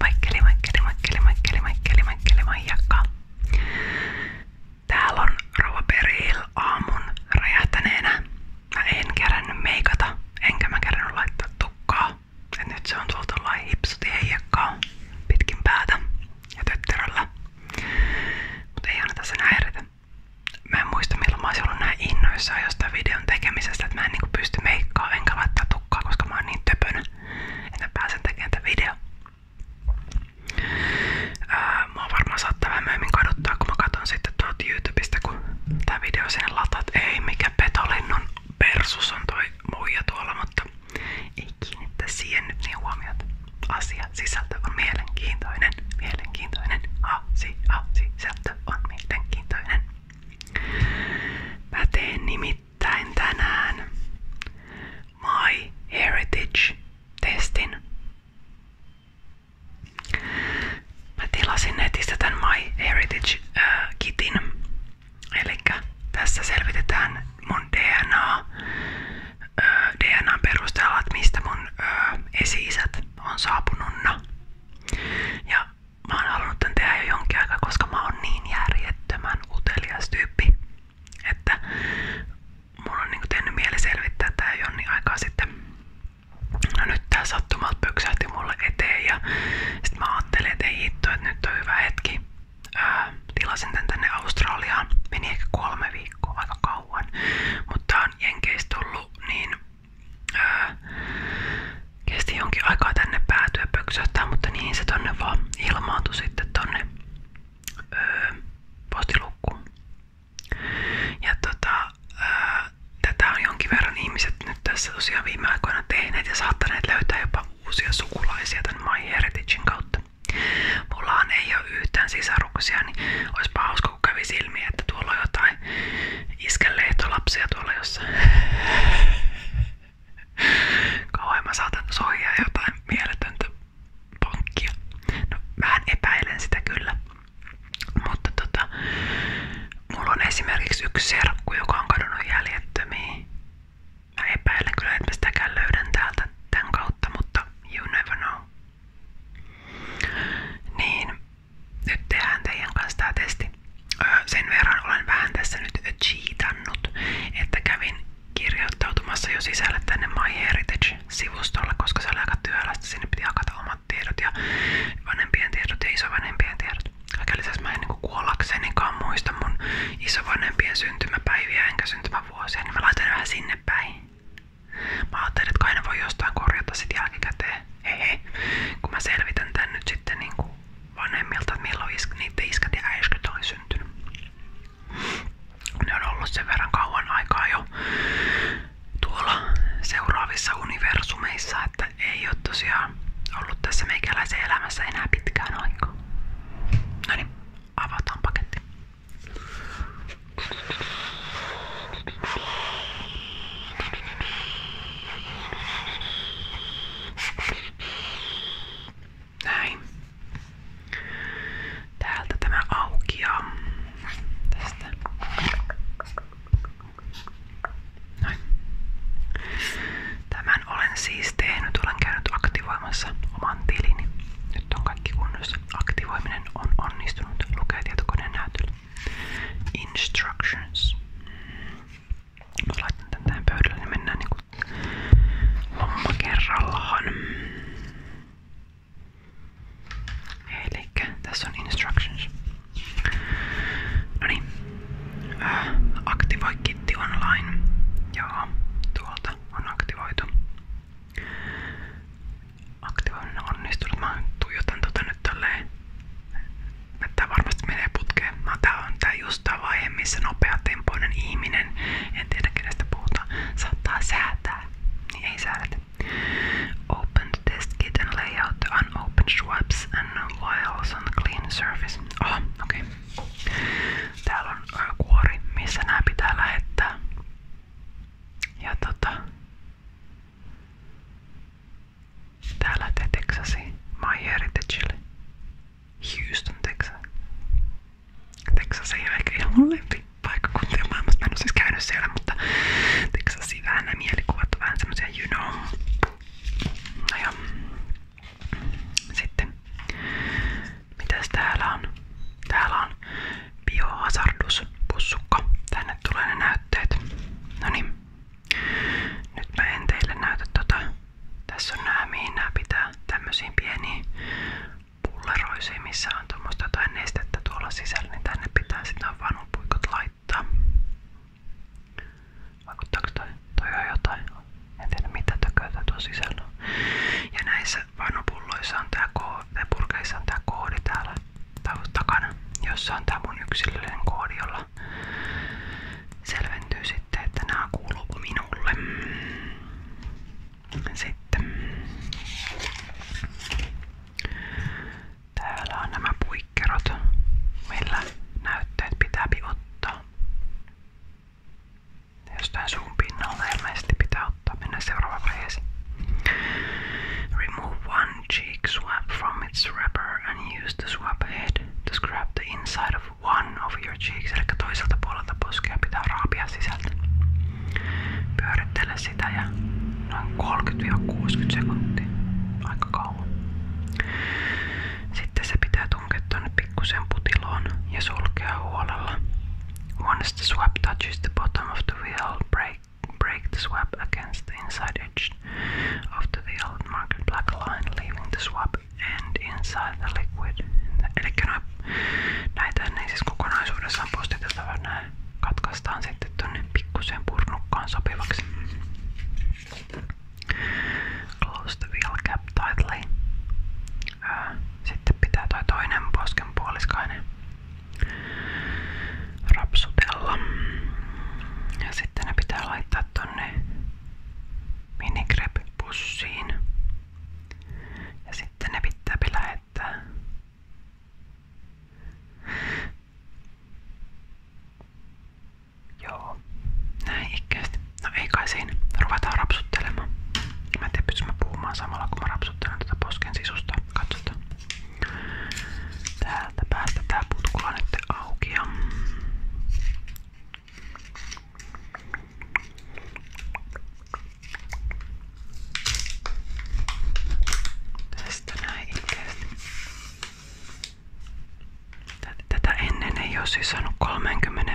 Maikkeli, maikkeli, maikkeli, maikkeli, maikkeli, maikkeli, maijakka. Täällä on Rova Peril aamun räjähtäneenä. Mä en kerännyt enkä mä kerännyt laittaa tukkaa. nyt se on tultu lai hipsuti heijakkaa pitkin päätä ja tötteröllä. Mut ei anneta sen häiritä. Mä muista milloin mä oisin näin innoissaan jostain videon tekemisestä, että mä en niinku pysty meikkaa enkä laittaa tukkaa, koska mä oon niin töpönä, että mä pääsen tekemään tämän video. Ää, mua varmaan saattaa vähän myöhemmin kaduttaa, kun mä katson sitten tuolta YouTubesta, kun tää video sinne lataa, että ei mikä petolinnon persus on toi muija tuolla, mutta ei kiinnitä siihen nyt niin huomiota. Asia sisältö on mielenkiintoinen, mielenkiintoinen, asi, asi, sisältö on mielenkiintoinen. Mä nimittäin tänään My Heritage-testin. Mä tilasin netistä tämän My Heritage-kitin. Äh, Eli tässä selvitetään mun DNA, äh, perusteella, että mistä mun äh, on saapunutna. Ja mä oon halunnut tän tehdä jonkin aikaa, koska mä oon niin järjettömän utelias tyyppi, että mulla on niinku tehnyt mieli selvittää tää jonni sitten. No nyt tää sattumalta pöksähti mulle ja sit mä ajattelin, että ei nyt hyvä hetki. tilasin tänne Australiaan, meni ehkä kolme viikkoa kauan, mutta tää tullut niin öö, kesti jonkin aikaa tänne päätyä pöksähtää, mutta niin se tonne vaan ilmaantui sitten tonne öö, postilukkuun. Ja tota, öö, tätä on jonkin verran ihmiset nyt tässä tosiaan viime aikoina tehneet ja saattaneet löytää jopa uusia sukulaisia tämän My Heritagein kautta. Mullahan ei ole yhtään sisaruksia, niin olisipa hauska kun kävi silmiä, että tuolla on jotain jotain iskän lehtolapsia tuolla jossain. Kauan mä saatan sohjaa jotain mieletöntä pankkia. No, vähän epäilen sitä kyllä. Mutta tota, mulla on esimerkiksi yksi serkku, joka on kadonnut jäljettömiin. Mä epäilen kyllä, että mä sitäkään löydän täältä tämän kautta, mutta you never know. Niin, nyt tehdään teidän kanssa testi. Sen verran olen nyt cheatannut, että kävin kirjoittautumassa jo sisälle tänne myheritage koska se oli aika Sinne omat tiedot vanhempien tiedot ja isovanhempien tiedot. Kaiken lisäksi mä en niin kuollaksenikaan muista mun isovanhempien syntymäpäiviä enkä syntymävuosia, niin mä laitan vähän sinne päin. Mä ajattelin, että kai voi jostain korjata sitä jälkikäteen hehe, kun mä selvitän tän nyt sitten niinku vanhemmilta, että milloin isk niiden iskät ja äiskyt oli syntynyt. Ne on ollut sen verran kauan aikaa jo tuolla seuraavissa universumeissa, että ei ole tosiaan ollut tässä meikäläisen elämässä enää pitkään aikaa. No niin, avataan paketti. Näin. Täältä tämä aukiaa. Tästä. Noin. olen siis tehnyt. Olen aktivoimassa oman tilini. Nyt on kaikki kunnossa. Aktivoiminen on onnistunut. Lukee tietokoneen näytöllä. Instructions. Mä laitan tän tähän pöydälle, niin mennään niinku homma kerrallaan. Elikkä tässä on instructions. Noniin. Äh, aktivoi kitti online. Joo, tuolta on aktivoitu. Aktivoinnin onnistunut. Mä tuijotan tota nyt tälleen Tää varmasti menee putkeen. No, tää on tää just tää vaihe, missä nopeatempoinen ihminen, en tiedä kenestä puhutaan, saattaa säätää. Niin ei säädetä. Open the test kit and lay out the unopened swabs and vials on the clean surface. Ah, okei. Okay. Täällä on kuori, missä nämä pitää lähettää. Ja tota... Täällä te Texasi, MyHeritagelle, Houston, Texas. Texas ei ole ehkä ihan mun lempipaikkakuntia maailmassa. Mä en ole siis käynyt siellä, mutta Texasia vähän nämä mielikuvat on vähän semmosia you know. No joo. Sitten, mitäs täällä on? Täällä on biohazardus pussukka. Tänne tulee ne näytteet. No niin. Nyt mä en teille tota. Tässä on nää, pitää tämmöisiin pieniin pulleroisiin, on tuommoista jotain nestettä tuolla sisällä, niin pitää sitten noin vanupuikot laittaa. Vaikuttaako toi? jotain. En mitä tököitä tuo sisällä on. Ja näissä vanupulloissa on tämä koodi, purkeissa on koodi täällä takana, jossa on tää mun yksilöllinen koodi, jolla selventyy sitten, että nämä kuuluuko minulle. Sitten täällä on nämä puikkerot, millä näytteet pitää ottaa. Jostain suun pinnalta ilmeisesti pitää ottaa. Mennään seuraavaan vaiheeseen. Remove one one swab from its wrapper and use the swab head to scrap the inside of one of your cheeks, eli toiselta puolelta poskea pitää raapia sisältä. Pyörittele sitä ja noin 30-60 sekuntia, aika kauan. Sitten se pitää tunkea tuonne pikkusen putiloon ja sulkea huolella. Once the swab touches the bottom of the wheel, break break the swap against the inside edge of the old mark black line, leaving the swap end inside the liquid. Eli no, näitähän ei siis kokonaisuudessaan postiteta, vaan nää katkaistaan sitten tonne pikkuseen purnukkaan sopivaksi. Close the wheel cap tightly. Sitten pitää toi toinen posken rapsutella. Ja sitten ne pitää laittaa tonne minigrep-pussiin. Ja sitten ne pitää lähettää Joo, näin ikkeästi. No ei kai siinä. Ruvetaan rapsuttelemaan. Mä en tiedä, mä puhumaan samalla kun mä rapsuttelen tätä tuota posken sisusta. Katsotaan. Täältä päästä tää putkula nyt auki ja Tästä näin ilkeästi. Tätä ennen ei olisi siis saanut 30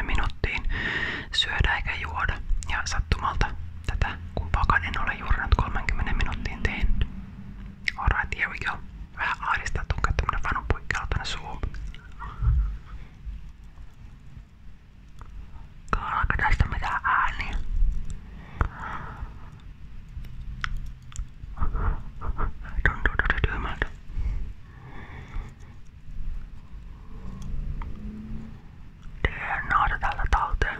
syödä eikä juoda. Ja sattumalta tätä kumpaakaan en ole juuri nyt 30 minuuttiin tehnyt. Alright, here we go. Vähän ahdistaa tunkaa tämmönen vanupuikkelu tänne suuhun. Kuullaanko tästä mitään ääniä? Tuntuu tosi tyhmältä. Tee naata tältä talteen.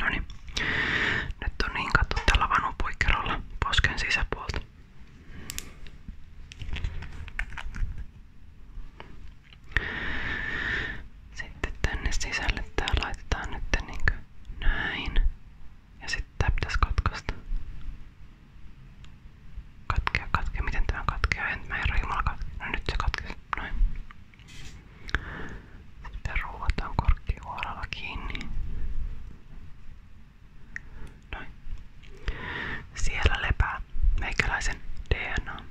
No niin. Nyt on niin kattu tällä vanupuikkerolla posken sisäpuolta. Sitten tänne sisälle tää laitetaan nyt niinku näin. Ja sitten tää pitäisi katkaista. Katkea, katkea. Miten tämä katkeaa? En mä herra jumala katkea. No nyt se katkesi. Noin. Sitten ruuvataan korkkihuoralla kiinni. Noin. Siellä lepää meikäläisen DNA.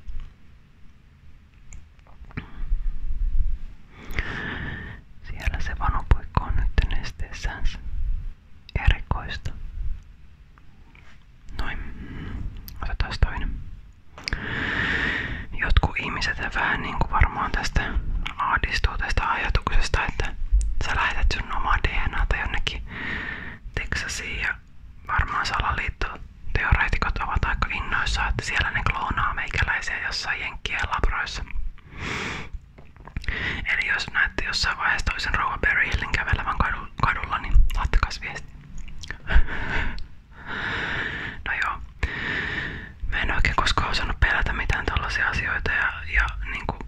Siellä se vanopuikko on nyt nesteessänsä erikoista. Noin. Otetaan toinen. Jotkut ihmiset vähän niinku varmaan tästä ahdistuu tästä ajatuksesta, että sä lähetät sun omaa DNAta jonnekin Teksasiin ja varmaan salaliittoteoreetikot ovat aika innoissaan, että siellä ne kloonaa meikäläisiä jossain henkiä labroissa. Eli jos näette jossain vaiheessa toisen rouva Barry Hillin kävelevän kadu, kadulla, niin laittakas viesti. no joo. Mä en oikein koskaan osannut pelätä mitään tällaisia asioita ja, ja niinku,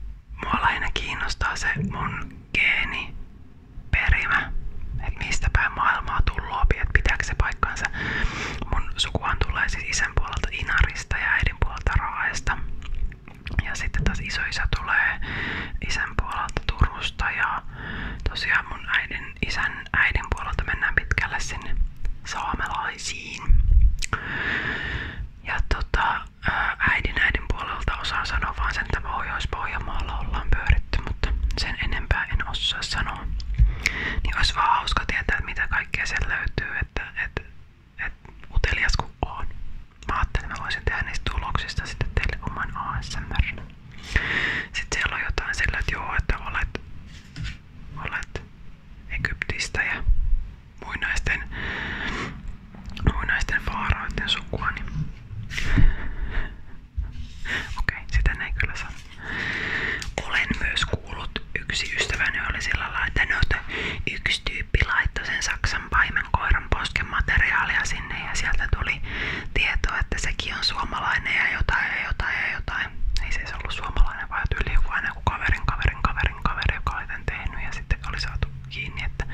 mua lähinnä kiinnostaa se mun geeni perimä, että mistä päin maailmaa tullaan, että pitääkö se paikkaansa. Mun sukuhan tulee siis isän puolelta Inarista ja äidin puolelta raaesta Ja sitten taas isoisä tulee isän puolelta Turusta ja tosiaan mun äidin, isän äidin puolelta mennään pitkälle sinne saamelaisiin. Ja tota, äidin äidin puolelta osaan sanoa vaan sen, että Pohjois-Pohjanmaalla ollaan pyöritty, mutta sen enempää en osaa sanoa sanoa. Niin olisi vaan hauska tietää, että mitä kaikkea sieltä löytyy, että et, et, utelias kuin on. Mä ajattelin, että mä voisin tehdä niistä tuloksista sitten teille oman ASMR. Sitten siellä on jotain sillä, että joo, että olet, olet Egyptistä ja muinaisten, muinaisten faaroiden sukua, niin Okei, okay, Olen myös kuullut yksi ystäväni oli sillä lailla, yksi tyyppi laittoi sinne ja sieltä tuli tietoa, että sekin on suomalainen ja jotain ja jotain ja jotain. Ei se suomalainen, vaan tyyli joku aina joku kaverin, kaverin, tehnyt ja sitten oli kiinni, että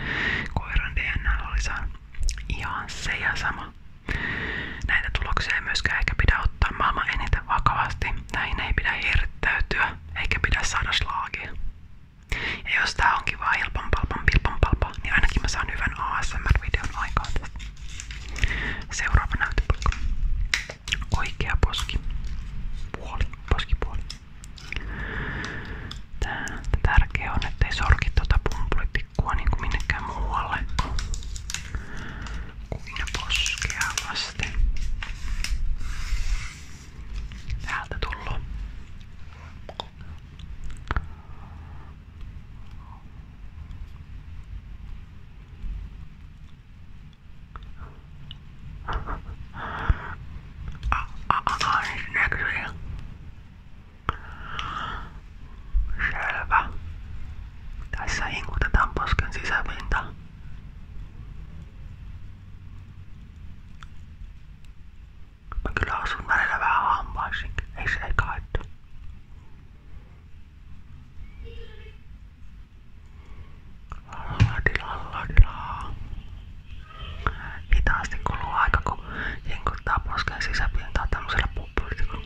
koiran DNA oli saanut ihan se ja Näitä tuloksia ei myöskään ehkä pidä ottaa maailman eniten vakavasti. Näihin ei pidä hirttäytyä eikä pidä saada slaagia. Ja jos tää onkin vaan ilpan palpan pilpan palpa, niin ainakin mä saan hyvän ASMR-videon aikaan tästä. Seuraava näytöpalko. Oikea poski. Puoli. Poskipuoli. Tää tärkeä on, ettei sorki tuota pumpulitti liikkua niinku minnekään muualle kuin poskea vasten. Täältä tullut. Ah, ah, ah, näkyy. Selvä. Tässä inkutetaan posken sisäpinta. Mä kyllä asun välillä vähän hampaisinkin, ei se ei haittaa. Lalladila, lalladila. Hitaasti kuluu aika, kun jinkuttaa posken sisäpintaa tämmöisellä puppulitikulla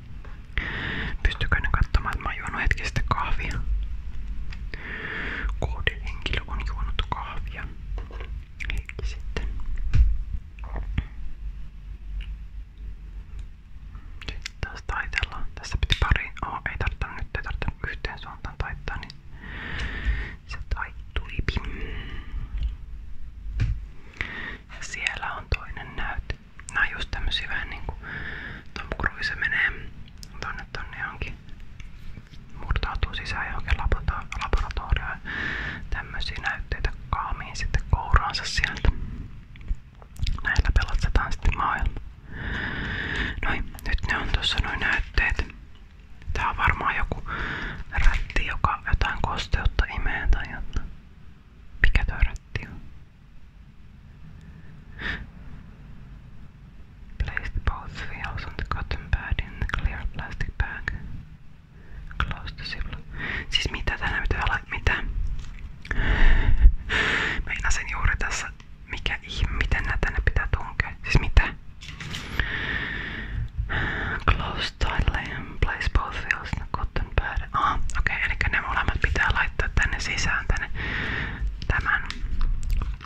Pystykö ne katsomaan, että mä oon on juonut kahvia sitten. Sitten taas taitellaan. Tässä piti pari. Oh, ei tarvitse nyt, ei tarvitse yhteen suuntaan taittaa, niin se taittui. Ja siellä on toinen näyte. Nää on just tämmösiä vähän niinku Tom Cruise menee tonne tonne johonkin murtautuu sisään johonkin laboratorioon tämmösiä näytteitä kaamiin sitten kouraansa sieltä. Näillä pelastetaan sitten maailma. Noin, nyt ne on tuossa noin näytteet. Tää on varmaan joku rätti, joka jotain kosteutta imee tai jotain. Mikä toi rätti on? Place the both vials on the cotton pad in the clear plastic bag. Close the ziplock. Siis mitä tänä pitää olla? Mitä? Meinasin juuri tässä, mikä ihme, miten nää tänne pitää tunkea. Siis mitä? Close tightly and place both wheels in the cotton tämän päälle. Aha, okei, okay, eli ne molemmat pitää laittaa tänne sisään, tänne tämän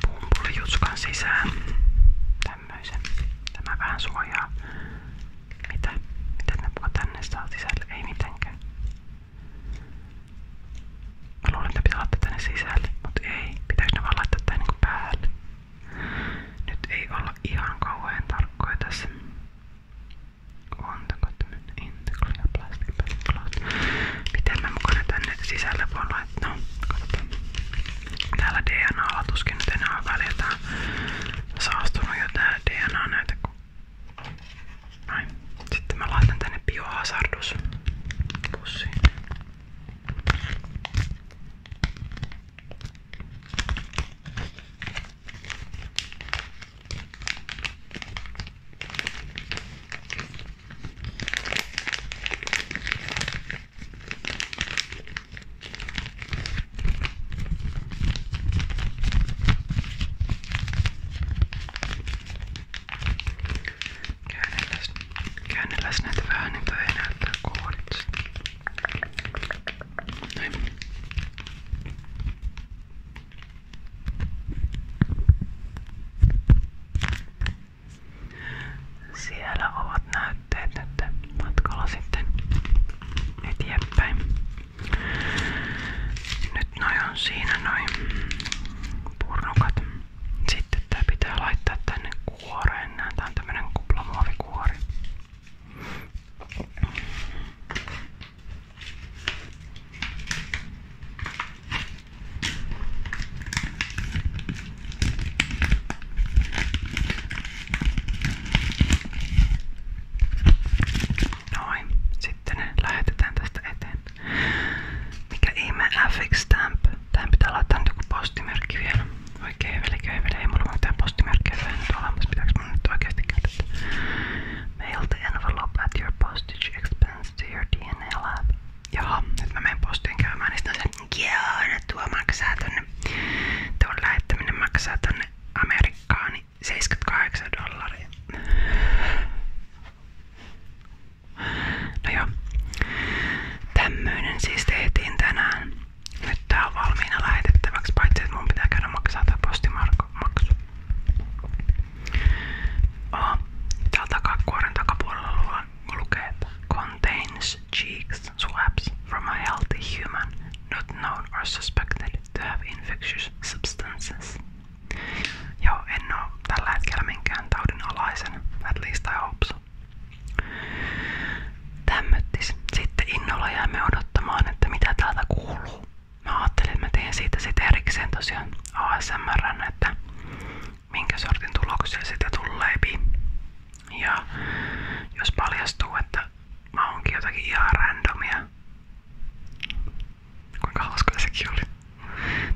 pumpulijutskan sisään. Tämmöisen. Tämä vähän suojaa. Mitä? Miten ne puka tänne saa sisälle? Ei mitenkään. Mä luulen, että ne pitää laittaa tänne sisälle, mutta ei. Pitääkö ne vaan laittaa tänne niin päälle? Nyt ei olla ihan kauhean tarkkoja tässä. Antako tämmönen in the clear plastic cloth? Miten mä mukana tänne sisälle voin laittaa? Katsotaan. Täällä DNA tuskin nyt enää on välillä. saastunut jo tää DNA näitä. Näin. Sitten mä laitan tänne biohazardus pussiin. Käännelläs näitä vähän, niin toi ei näyttää koodit. Näin. Siellä ovat näytteet nyt matkalla sitten eteenpäin. Nyt noi on siinä noin purnukat. Sitten tää pitää laittaa tänne kuoreen. Nää tää on tämmönen kuplamuovikuori. Noin, sitten ne lähetetään tästä eteen. Mikä ihme FX Stamp? Tähän pitää laittaa nyt joku postimerkki vielä. Oikein veli, ei veli, ei mulla ole mitään postimerkkiä tähän nyt olemassa. Pitääkö mun nyt oikeasti käyttää? Mail the envelope at your postage expense to your DNA lab. Jaha, nyt mä menen postiin käymään, niin sitten on se, yeah, tuo maksaa tonne, tuo lähettäminen maksaa tonne Amerikkaan, niin 78 dollaria. No joo, tämmöinen siis tehtiin tänään. Nyt tää on valmiina lähetettäväksi, paitsi että mun pitää käydä maksaa tää postimaksu. Oh, täällä takakuoren takapuolella lukee, että contains cheeks swabs from a healthy human not known or suspected to have infectious substances. Joo, en oo tällä hetkellä minkään taudin alaisen, at least I hope so. Tämmöttis. Sitten innolla jäämme odottamaan, että mitä täältä kuuluu mä ajattelin, että mä teen siitä sitten erikseen tosiaan ASMRn, että minkä sortin tuloksia sitä tulee. Ja jos paljastuu, että mä oonkin jotakin ihan randomia. Kuinka hauska sekin oli.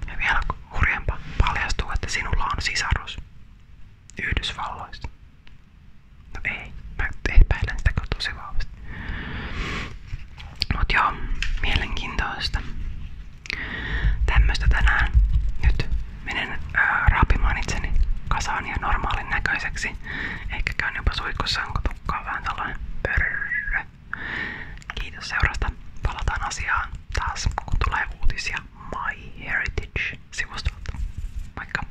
Ja vielä hurjempaa paljastuu, että sinulla on sisarus Yhdysvalloista. No ei, mä epäilen sitä kyllä tosi vahvasti. Mut joo, mielenkiintoista. Tämmöstä tänään. Nyt menen ää, raapimaan itseni kasaan ja normaalin näköiseksi. Ehkä käyn jopa suikussa, onko tukkaa vähän tällainen pörrö. Kiitos seurasta. Palataan asiaan taas, kun tulee uutisia My Heritage sivustolta. Moikka!